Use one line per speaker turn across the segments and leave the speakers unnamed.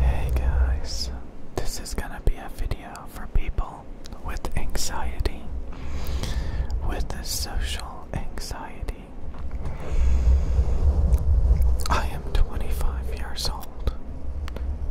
Hey guys, this is gonna be a video for people with anxiety, with the social anxiety. I am 25 years old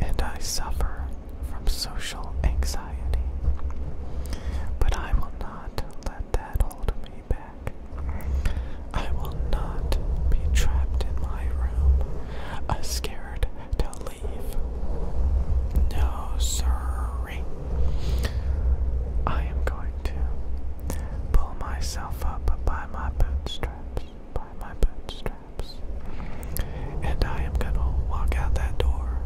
and I suffer from social anxiety, but I will not let that hold me back. I will not be trapped in my room, scared to leave. No, sorry. I am going to pull myself up by my bootstraps, by my bootstraps, and I am going to walk out that door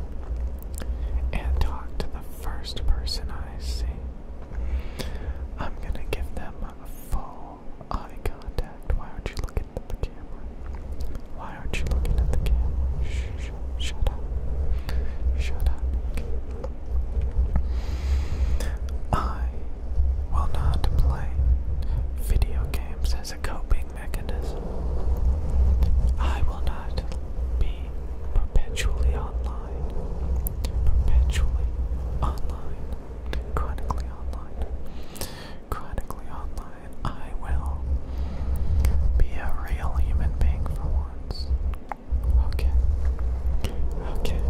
and talk to the first person I see. I'm gonna give them a full eye contact. Why aren't you looking at the camera? Why aren't you looking at the camera? Shh, shut up. Shut up. I will not play video games as a coping mechanism. I will not be perpetually online, perpetually online, chronically online, chronically online. I will be a real human being for once. Okay. Okay.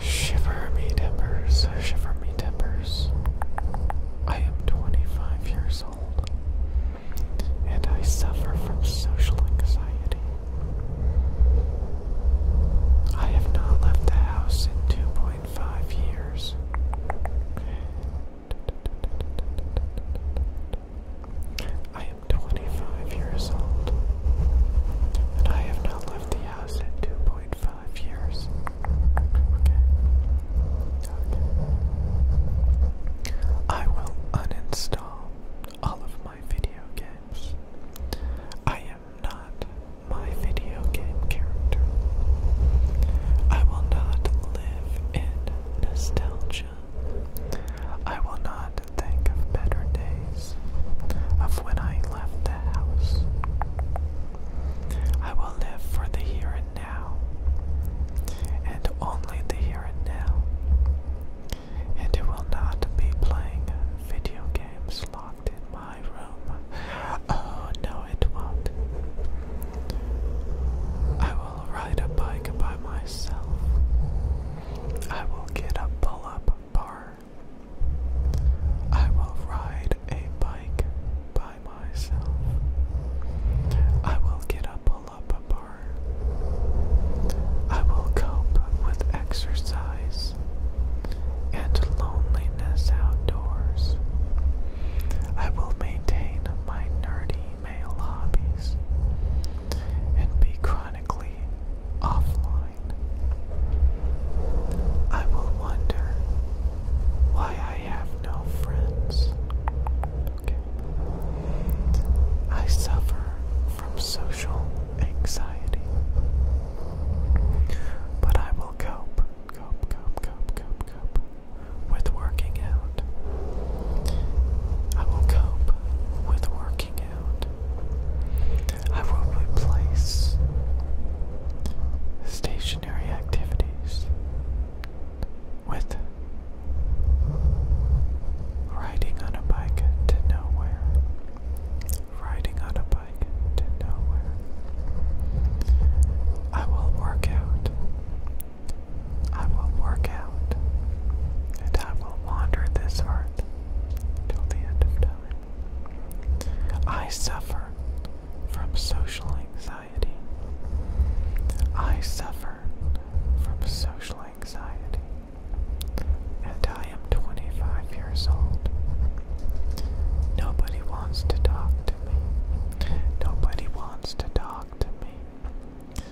Shiver me timbers, shiver me timbers. I am 25 years old and I suffer from social anxiety. I have not left the house in 2.5 years. I am 25 years old, and I have not left the house in 2.5 years. I will uninstall all of my video games. I am not my video game character. I will not live in nostalgia. I will not think of better days, of when I left the house. I will live for the here and now, and only the here and now. And it will not be playing video games locked in my room. Oh no, it won't. I will ride a bike by myself. I will get a pull up bar. I will ride a bike by by myself. I will get a pull up bar. I will cope with exercise and loneliness outdoors. I will maintain my nerdy male hobbies and be chronically offline. I will wonder why I have no friends. I suffer from social anxiety. But I will cope, cope, cope, cope, cope, cope with working out. I will cope with working out. I will replace stationary activities with riding on a bike to nowhere. Riding on a bike to nowhere. I will work out. I will work out. And I will wander this earth till the end of time. I suffer from social anxiety. I suffer from social anxiety, and I am 25 years old. Nobody wants to talk to me. Nobody wants to talk to me.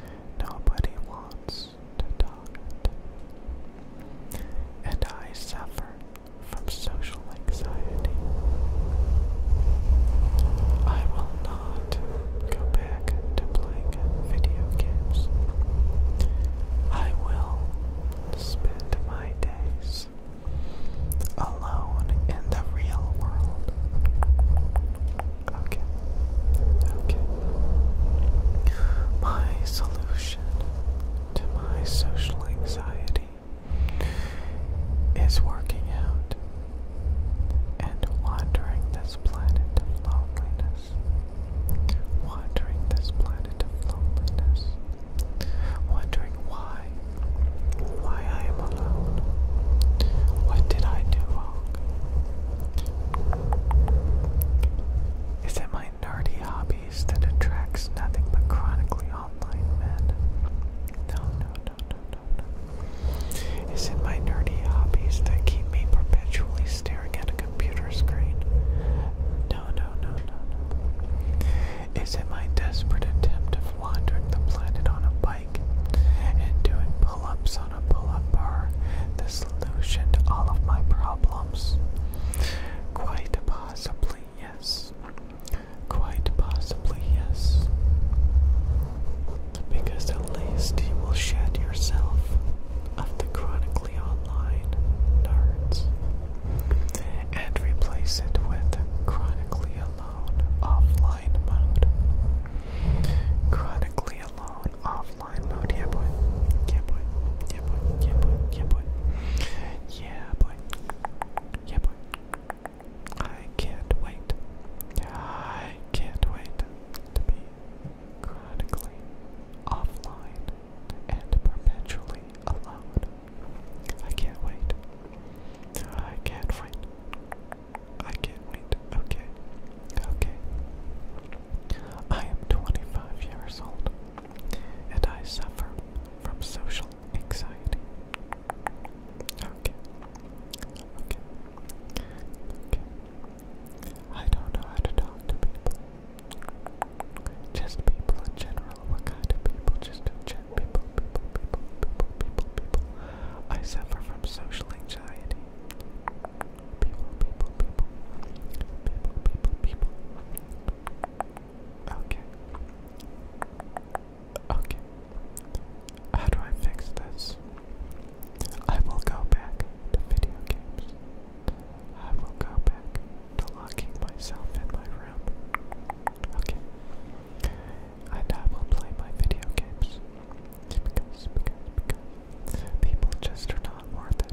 Nobody wants to talk to me. And I suffer from social anxiety. I will not go back to playing video games. I will spend my days alone in the real world. Okay. Okay. My solution to my social anxiety is working out and wandering this planet of loneliness. Wandering this planet of loneliness. Wondering why. Why I am alone. What did I do wrong? Is it my nerdy hobby space that attracts nothing but chronically online men. no, no, no, no, no. Is it my nerdy hobbies that keep me perpetually staring at a computer screen? No, no, no, no, no. Is it my desperate attempt of wandering the planet on a bike and doing pull ups on a pull up bar the solution to all of my problems? Quite possibly. Yes. Quite possibly, yes. Because at least you will shed yourself of the chronically online nerds and replace it with chronically alone offline mode. Chronically alone offline mode, yeah boy. Yeah boy. Yeah boy. Yeah boy. Yeah boy. Yeah, boy. Yeah, boy. I can't wait. I can't wait to be chronically offline and perpetually alone. I can't wait. I can't wait. I can't wait. Okay. Okay. I am 25 years old and I suffer from social anxiety. Okay. Okay. Okay. I don't know how to talk to people. Just people in general. What kind of people? Just general. People, people, people, people, people, people. I suffer from social anxiety. People, people, people. People, people, people. Okay. Okay. How do I fix this? I will go back to video games. I will go back to locking myself in my room. Okay. And I will play my video games. Because, because, because. People just are not worth it.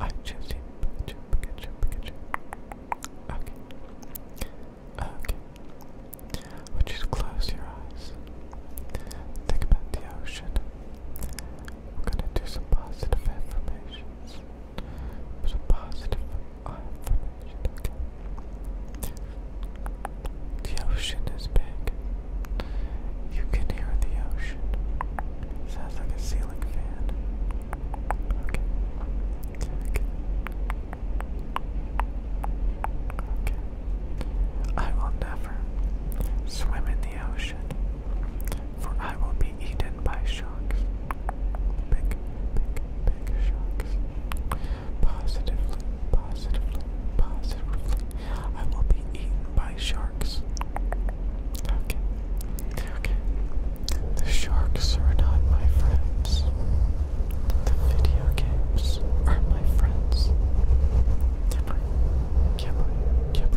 I chose you, Okay. Okay. Would you close your eyes? Think about the ocean. We're gonna do some positive affirmations. Some positive affirmation, uh, The ocean is big. You can hear the ocean. Sounds like a ceiling fan. Okay. Okay. Okay. I will never swim in the ocean, for I will be eaten by sharks. Big, big, big sharks. Positively, positively, positively, I will be eaten by sharks. Okay. Okay. The sharks are not my friends. The video games are my friends. Can't play. can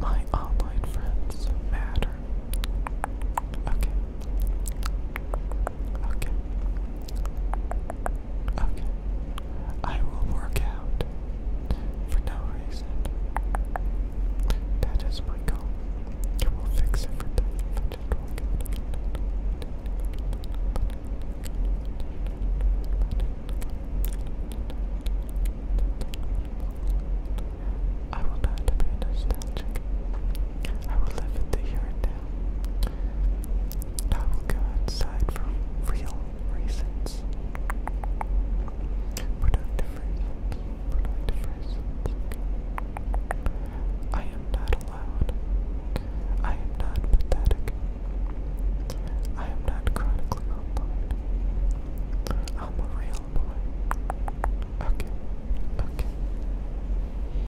My online friends matter. Okay. Okay. Okay. I will work out for no reason. That is my goal. You will fix everything if I I will not be nostalgic. I will live in the here and now. I will go outside for real reasons. Productive reasons. Productive reasons. I am not allowed. I am not pathetic. I am not chronically unemployed. I'm a real boy. Okay, okay.